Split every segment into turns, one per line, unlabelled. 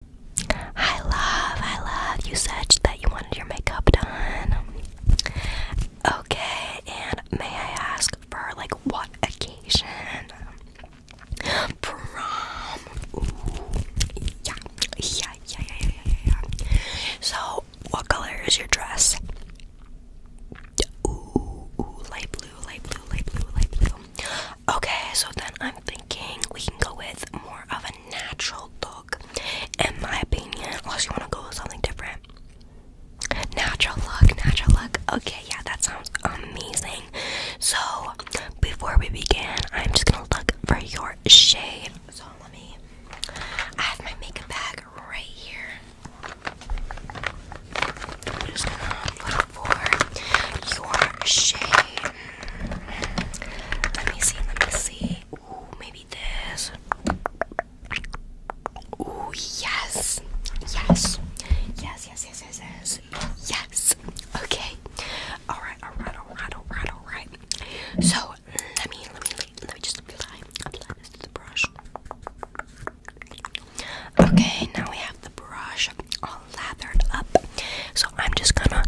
I love. I love you said that you wanted your makeup done. Okay, and may I ask for like what occasion? Prom. Yeah. yeah, yeah, yeah, yeah, yeah, yeah. So, what color is your dress? ooh, light blue, light blue, light blue, light blue. Okay, so then I'm thinking thinking we can go with more of a natural look, in my opinion, unless you want to go with something different. Natural look, natural look. Okay, yeah, that sounds amazing. So, before we begin, I'm just gonna look for your shade. So, let me. I have my makeup bag right here for your shade. Let me see, let me see. Ooh, maybe this. Ooh, yes. Yes. Yes, yes, yes, yes, yes. Okay. Alright, alright, alright, alright, alright. So let me let me let me just apply apply this to the brush. Okay, now we have the brush lathered up. So I'm just gonna let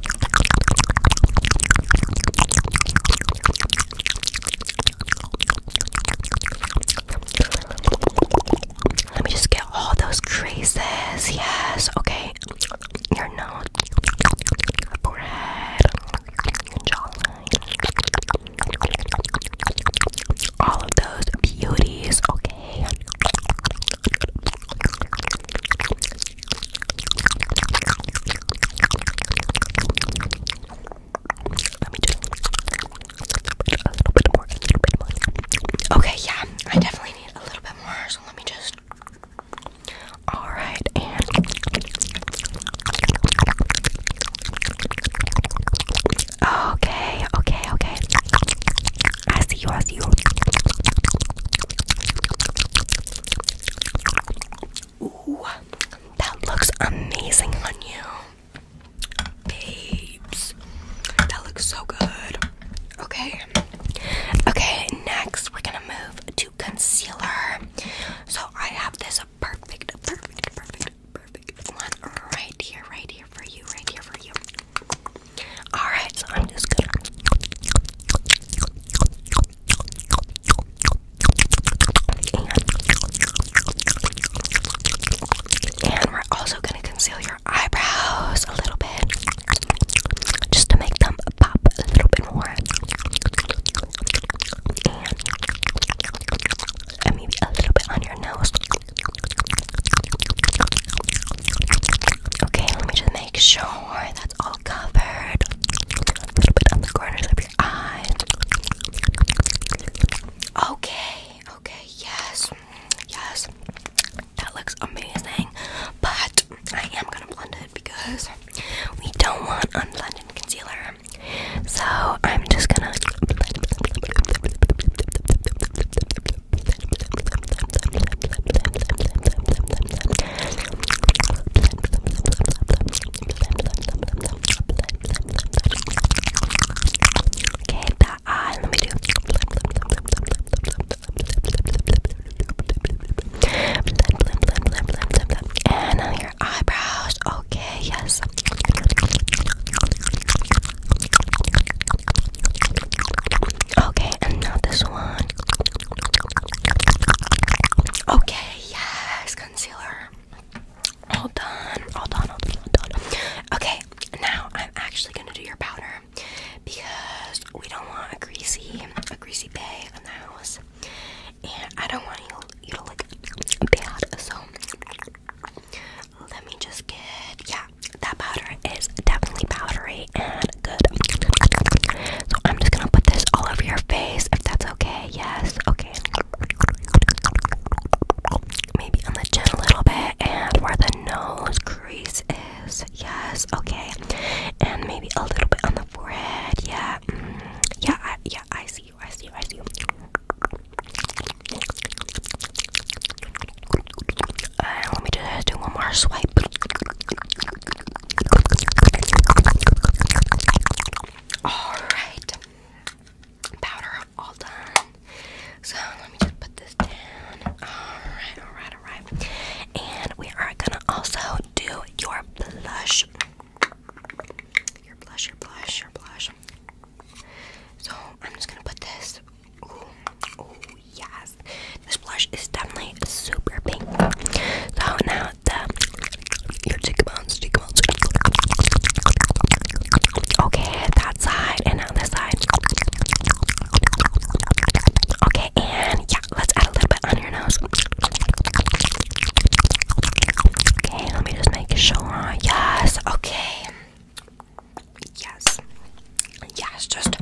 me just get all those creases. Yes, okay. Your nose, forehead, jawline, all of those beauties. Okay. Let me just a little bit more, a little bit more. Okay, yeah, I definitely need a little bit more, so let me just. All right, and okay, okay, okay. I see you, I see you. Ooh, that looks amazing on you. Babes, that looks so good. Okay, okay, next we're gonna move to concealer. So I have this perfect, perfect, perfect, perfect one right here, right here for you, right here for you. Alright, so I'm just gonna. And, we're also gonna conceal your eyebrows a little bit just to make them pop a little bit more. and maybe a little bit on your nose. Okay, let me just make sure that's all covered. A little bit on the corners of your eye. Okay, okay, yes, yes. That looks amazing. But I am gonna blend it because we don't want unblended concealer. So I'm just gonna Okay, the eye. Let me do. And on your eyebrows. Okay, yes. Okay, and now this one. Okay, yes, concealer. All done, all done, all done, all done. Okay, now I'm actually gonna do your powder because we don't want a greasy, a greasy bay in the house, and I don't want you to look bad. So let me just get yeah, that powder is definitely powdery and good. So I'm just gonna put this all over your face if that's okay. Yes, okay. Maybe on the chin a little bit and where the nose crease is. Yes, okay. And maybe a little bit on the forehead. Yeah, mm, yeah, yeah. I see you. I see you. I see you let uh, me just do one more swipe. Alright. Powder all done. So let me just put this down. Alright, alright, alright. And we are gonna also do your blush. Your blush, your blush, your blush. So I'm just gonna put this oh yes, this blush is definitely super pink. So now the your cheekbones, cheekbones. Okay, that side and now this side. Okay, and yeah, let's add a little bit on your nose. Okay, let me just make it Yes, okay. Yes. Yes, just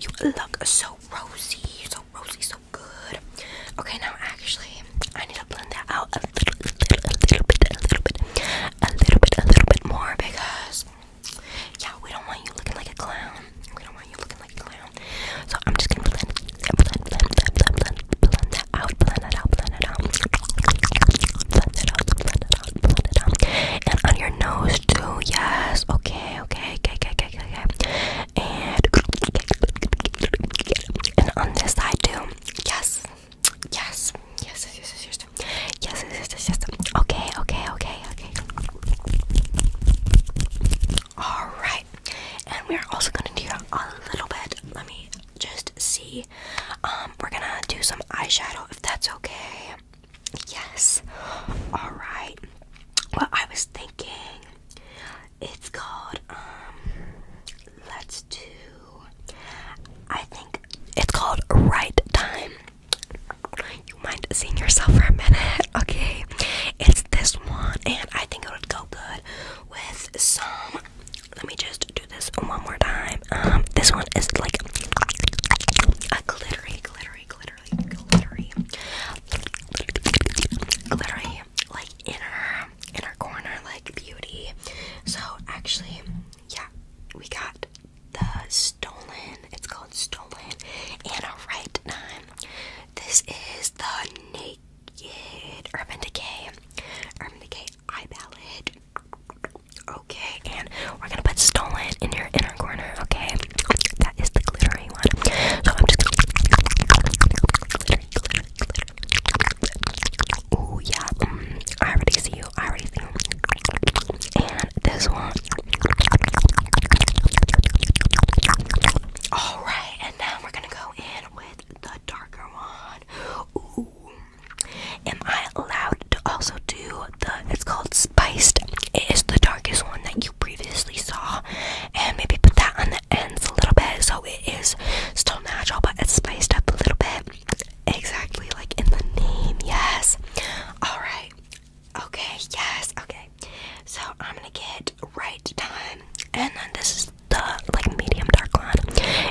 you look so rosy, so rosy, so good. Okay, now actually, I need to blend that out a little, little, a little bit, a little bit, a little bit, a little bit more because, yeah, we don't want you looking like a clown. We don't want you looking like a clown. So I'm just gonna blend, blend, blend, blend, blend, blend, blend that out, blend it out, blend it out, blend it out, blend it out, blend it on, blend it on. And on your nose too, yes. Okay, okay, okay, okay, okay, okay. And, and on this side too, yes. Yes. Yes, yes, yes, yes, yes, yes, yes, yes, yes. Okay, okay, okay, okay. All right, and we're also gonna do a little bit. Let me just see um, we're gonna do some eyeshadow if that's okay. Yes. Alright. Well, I was thinking it's called, um, let's do, I think it's called Right Time. You mind seeing yourself for a minute? Okay. It's this one, and I think it would go good with some. Let me just do this one more time. Um, this one is like a glittery, glittery, glittery, glittery, glittery, like inner, inner corner, like beauty. So actually, yeah, we got the stolen. It's called stolen. And a right time. This is the naked Urban Decay. Urban Decay eye palette. Okay, and we're gonna put stolen in your inner corner, okay? That is the glittery one. So I'm just gonna Ooh yeah. Mm, I already see you. I already see you. And this one. Alright, and now we're gonna go in with the darker one. Ooh. Am I allowed to also do the? It's called spiced. It is the darkest one that you previously saw, and maybe put that on the ends a little bit so it is still natural, but it's spiced up a little bit. Exactly like in the name. Yes. All right. Okay. Yes. Okay. So I'm gonna get right time, and then this is the like medium dark one.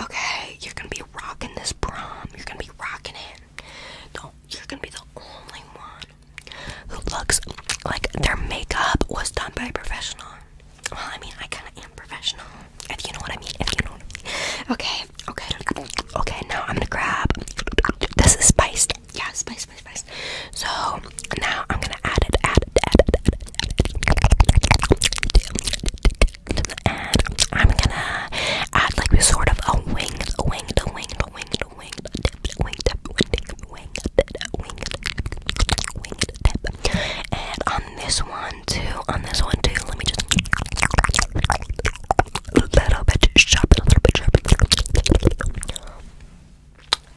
Okay, you're gonna be rocking this prom. You're gonna be rocking it. Don't. You're gonna be the only one who looks like their makeup was done by a professional. Well, I mean, I kind of am professional. If you know what I mean. If you know. What I mean. Okay. Okay. Okay. Now I'm gonna grab. This is spiced. Yeah, spice, spice, spice. So now I'm gonna add it. Add it. Add it. Add it. Add it and I'm gonna add like this sort of a wing, a wing, a wing, a wing, a wing, a wing, a wing, a wing, wing tip. And on this one too, on this one too, let me just a little bit sharp, a little bit sharp.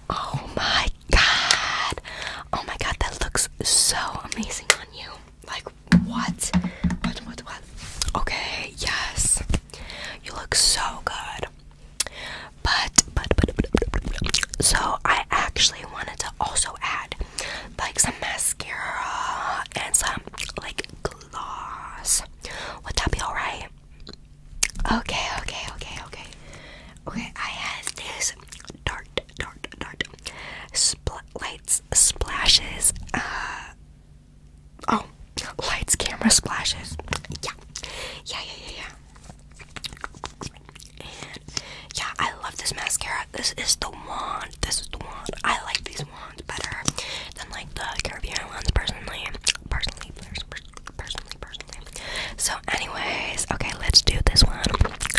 Oh my god! Oh my god, that looks so amazing on you. Like what? What what what? Okay, yes. You look so good. But but but, but, but so I actually wanted to also add like some mascara and some like gloss. Would that be alright? Okay, okay, okay, okay. Okay, I have this dark dart, dart, Spl lights, splashes, uh, oh, lights, camera, splashes, yeah, yeah, yeah, yeah, yeah, and, yeah, I love this mascara, this is the one, this is the one, I like these ones better than, like, the Caribbean ones, personally, personally, personally, personally, personally, so, anyways, okay, let's do this one,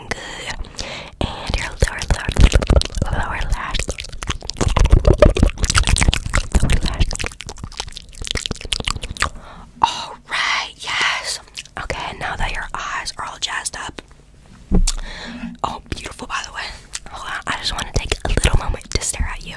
and your lower, lower, lash. Alright, yes. Okay, now that your eyes are all jazzed up. Oh, beautiful, by the way. I just want to take a little moment to stare at you.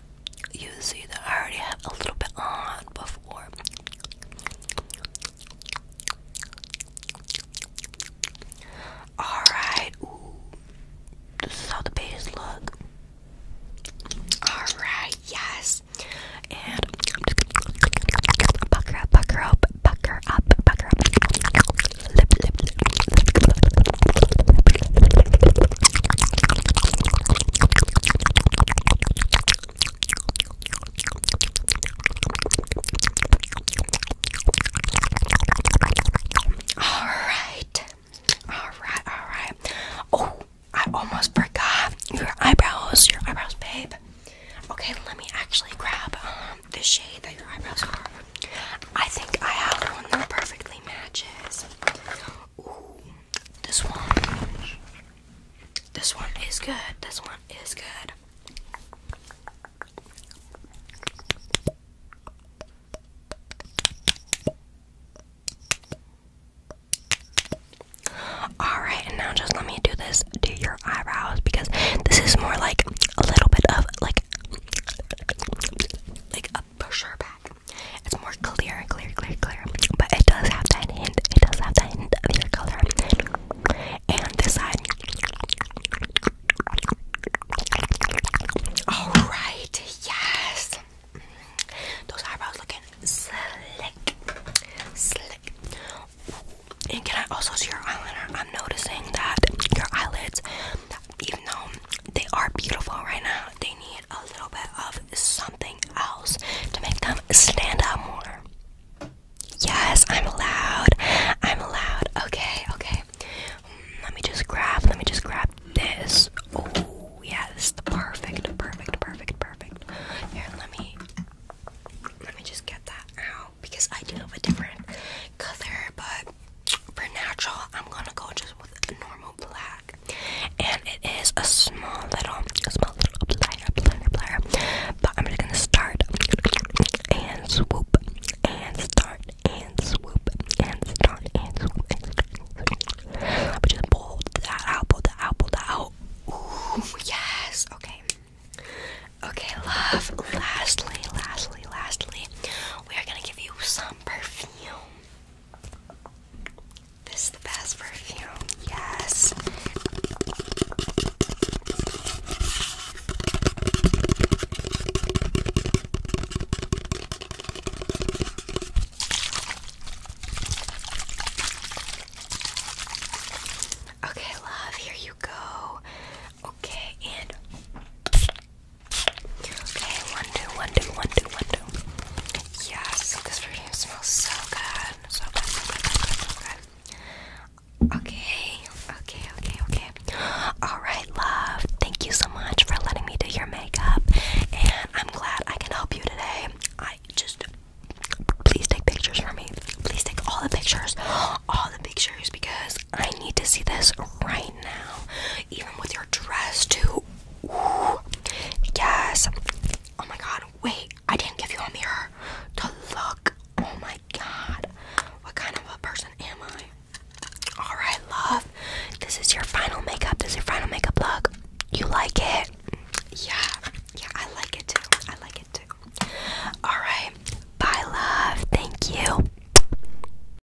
you see that I already have a little bit on before. Alright, This is how the base look. Alright, yes. And bucker up, bucker up, bucker up, bucker up. lip, lip, lip, lip, lip, lip, all right, all right, all right. Oh, I almost forgot your eyebrows, your eyebrows, babe. Okay, let me actually grab um, the shade that your eyebrows are. I think I have one that perfectly matches. Ooh, this one. This one is good. This one is good. Alright, and now just let me do this to your eyebrows because this is more like a little bit of like like a brochure back. It's more clear, clear, clear, clear, but it does have that hint. It does have that hint of your color. And this side. All right, yes. Mm-hmm. Those eyebrows looking slick, slick. And can I also see your eyeliner? I'm noticing that your eyelids even though they are beautiful right now, they need a little bit of something else to make them stand out more. Yes, I'm allowed. I'm allowed. Okay, okay. Mm, let me just grab, let me just grab this. Oh, yeah, this is the perfect, perfect, perfect, perfect. Here, let me let me just get that out because I do have a different color, but for natural, I'm gonna go just with normal black and it is a small little, small little plier, plier, plier. But I'm just gonna start and swoop and start and swoop and start and swoop. I'm just pull that pull that pull that out. Ooh, yes. Okay. Okay, love. Lastly, lastly, lastly, we are gonna give you some perfume. This is the best perfume. Yes. Okay, love, here you go. Okay, and Okay, one, two, one, two, one, two, one, two. Yes, this perfume smells so good. So good, so good, so good, Okay, okay, okay, okay. Alright, love. Thank you so much for letting me do your makeup. And I'm glad I can help you today. I just please take pictures for me. Please take all the pictures. All the pictures because I need to see this right now. Even with your dress, too. Yes. Oh my god. Wait, I didn't give you a mirror to look. Oh my god. What kind of a person am I? Alright, love. This is your final makeup. This is your final makeup look. You like it? Yeah. Yeah, I like it too. I like it too. Alright. Bye, love. Thank you.